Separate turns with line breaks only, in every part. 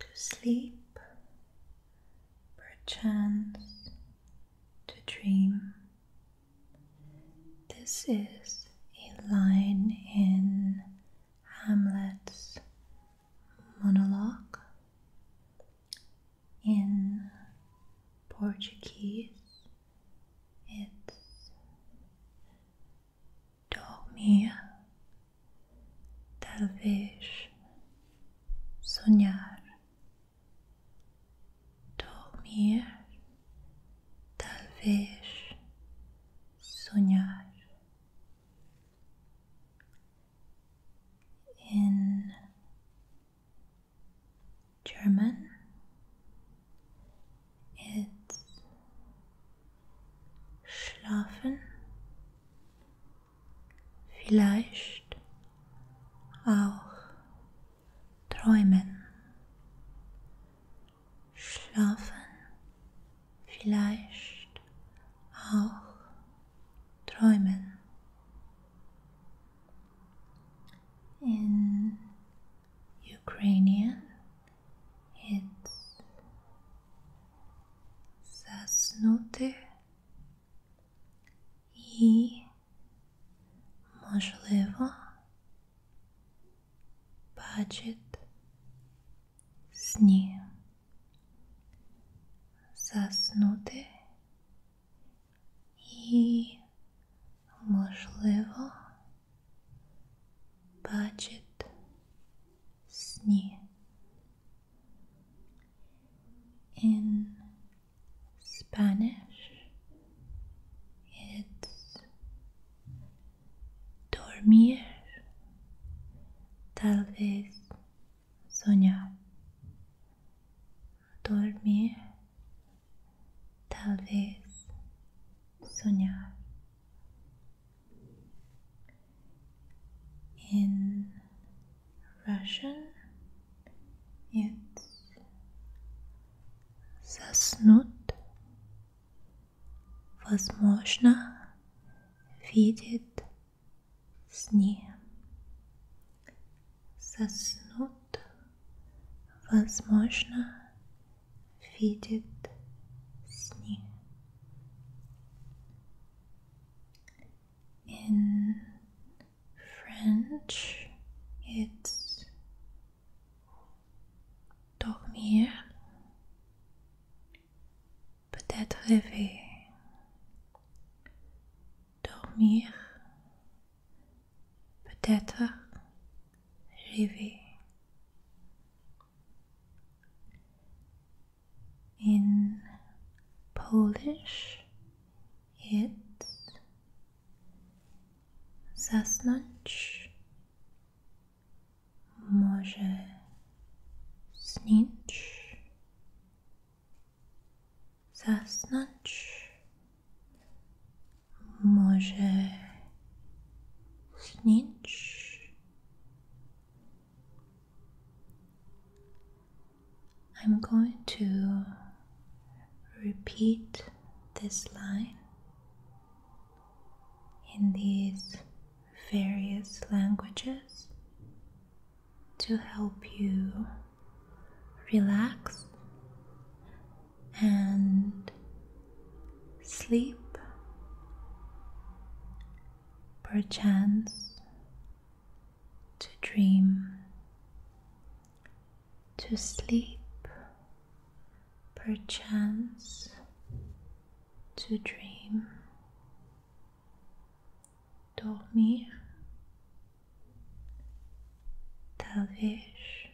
To sleep, perchance to dream. This is a line in Hamlet's monologue in português, It's dormir, talvez sonhar, dormir, talvez sonhar. in German it's schlafen vielleicht auch träumen schlafen vielleicht auch träumen. In Ukrainian, it's заснути і, можливо, бачить сне. Заснути і, можливо, бачить сні. In Spanish, it's dormir, tal vez soñar, dormir, tal vez soñar. In Russian, it's заснуть, возможно, видит сни. Соснут, возможно, видит сни. In French, it's dormir peut-être rêver, dormir, peut-être rêver. In Polish, it's zasnąć, Może śnić, zasnąć, może śnić. I'm going to repeat this line in these various languages to help you relax and sleep, perchance to dream, to sleep, perchance to dream. Dormir, talvez,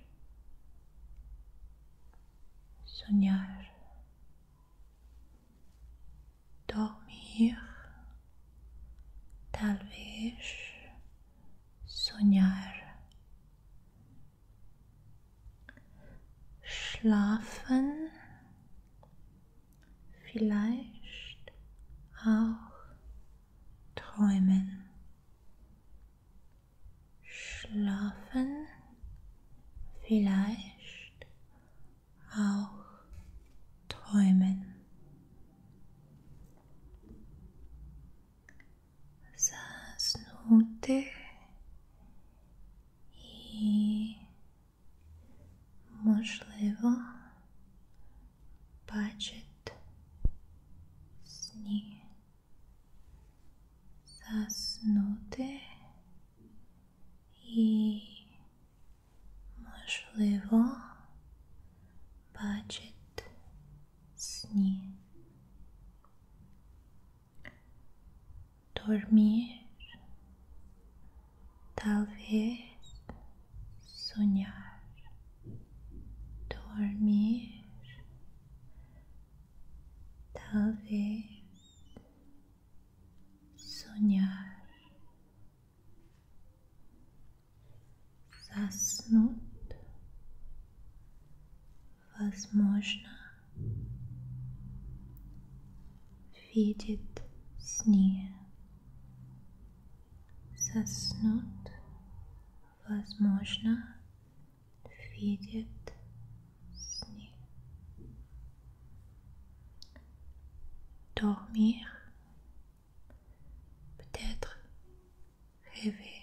sonhar, dormir, talvez, sonhar, Schlafen vielleicht auch träumen. Schlafen vielleicht auch träumen. заснутых і, можливо, бачить сні, заснути і, можливо, бачить сні. dormir, tal vez soñar, dormir, tal vez soñar. Zasnut возможно, видит сне, соснут, возможно, видит сне. Dormir, peut-être rêver.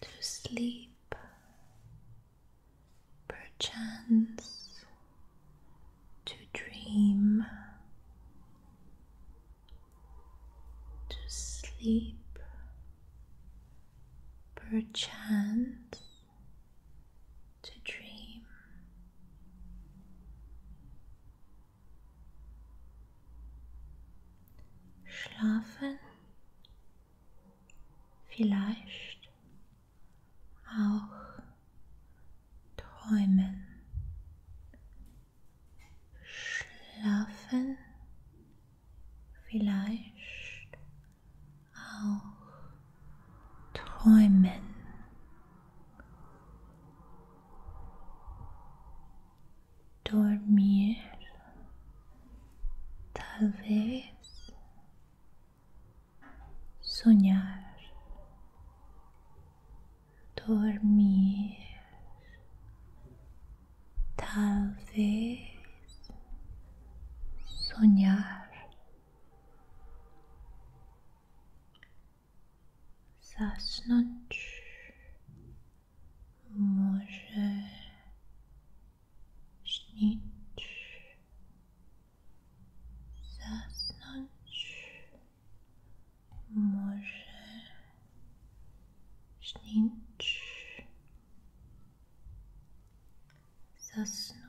to sleep, perchance to dream, to sleep, perchance to dream. Schlafen vielleicht auch träumen. Schlafen vielleicht auch träumen. dormir tal vez soñar dormir tal vez soñar zasnąć. Może śnić, zasnąć, może śnić, zasnąć.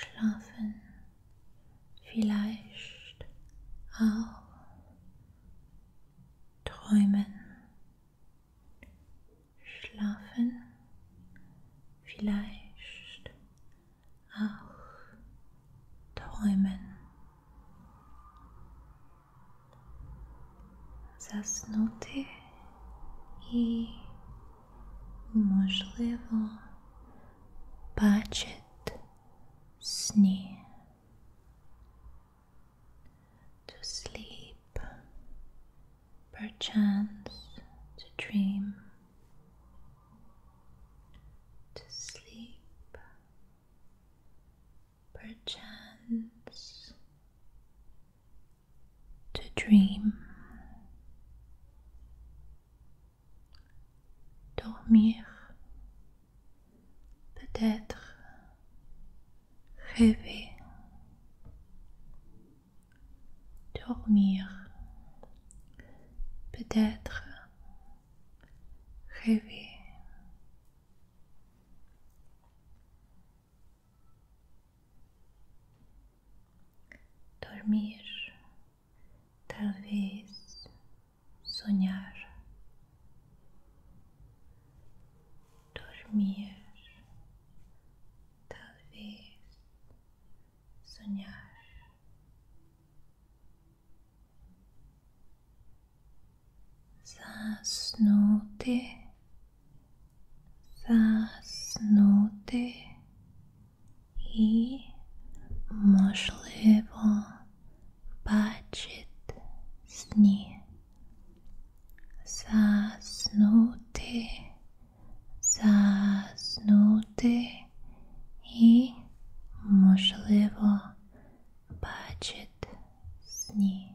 schlafen vielleicht auch träumen schlafen vielleicht auch träumen zasnuty i можливо, бачить сні. To sleep, perchance to dream. To sleep, perchance to dream. Dormir, peut-être rêver. Dormir, peut-être rêver. dormir, talvez sonhar, dormir, talvez sonhar. Zasnute заснути і, можливо, бачить сні. Заснути, заснути і, можливо, бачить сні.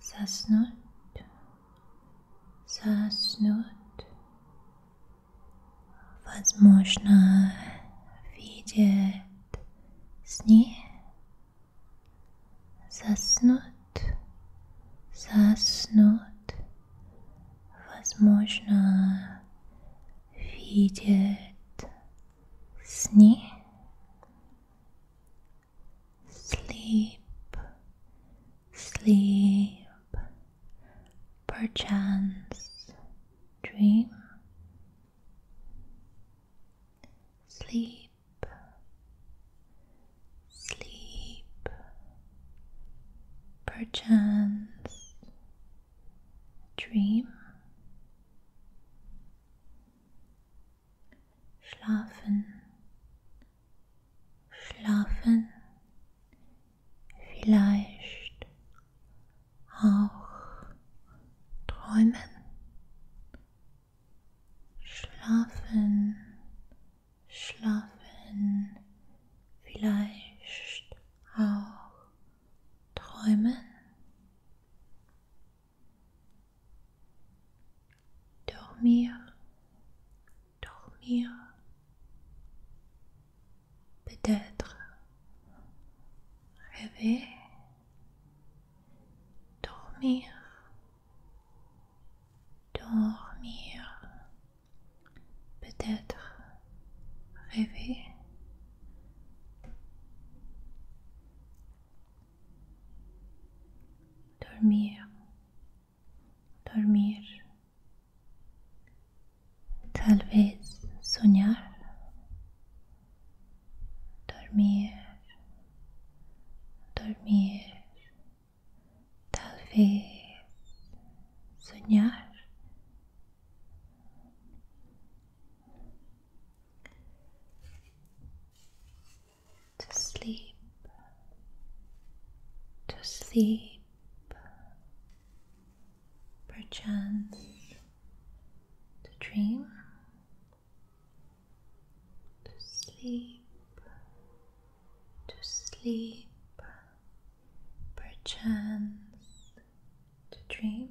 заснуть, заснуть. Возможно, видит сни, заснуть, заснуть. Возможно, видит сни sleep, sleep, perchance dream, sleep, sleep, perchance dream. schlafen, schlafen, vielleicht auch träumen, schlafen, schlafen, vielleicht auch träumen. dormir, dormir, peut-être rêver, dormir, dormir, peut-être rêver. dormir, dormir, tal vez soñar, dormir, dormir, tal vez soñar, to sleep, to sleep, perchance to dream, to sleep, to sleep, perchance to dream.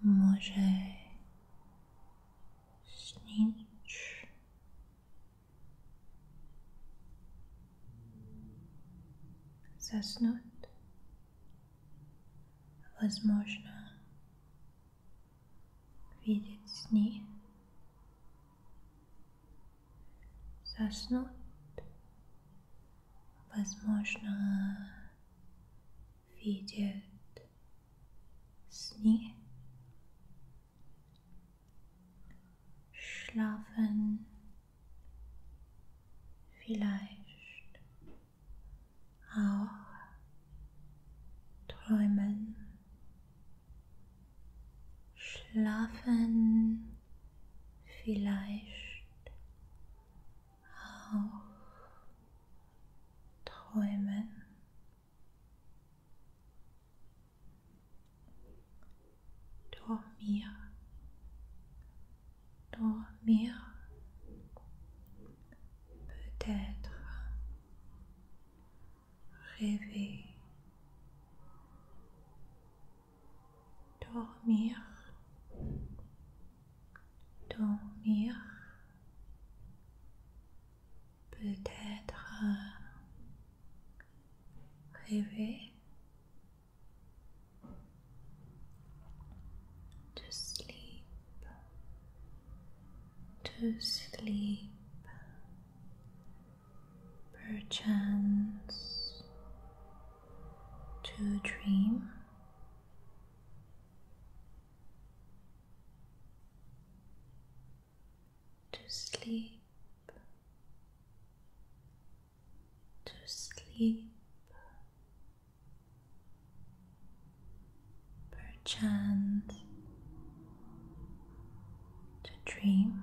може сніч. Заснуть. Возможно, видеть сни. Заснуть. Возможно, видят сни, schlafen vielleicht auch träumen, schlafen vielleicht auch träumen. Dormir, dormir, peut-être rêver, to euh, sleep, to sleep, perchance to dream to sleep, to sleep. Perchance to dream,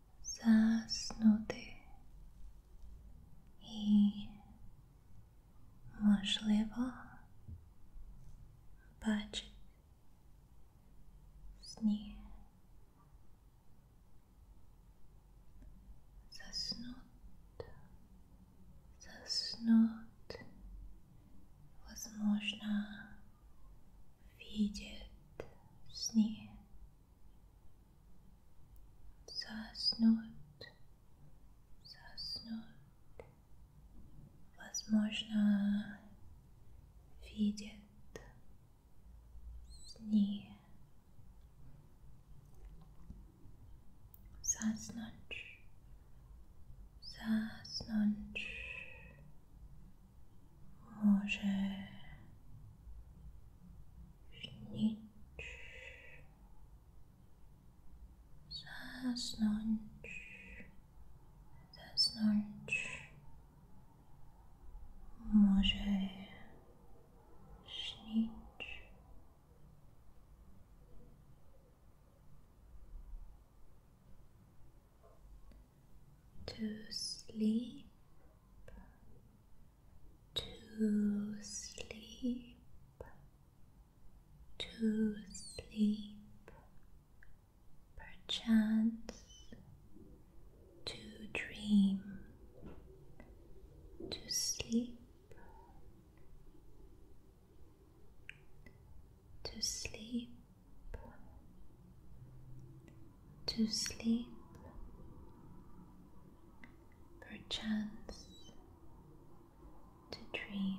zasnuti i možljivo bači snije. njim. Zasnuti, видит сне. Заснут, заснут, возможно, видит сне. Заснуть, заснуть. może śnić, zasnąć, zasnąć, może śnić. to sleep, to sleep, to sleep, perchance to dream, to sleep to sleep, to sleep, perchance to dream.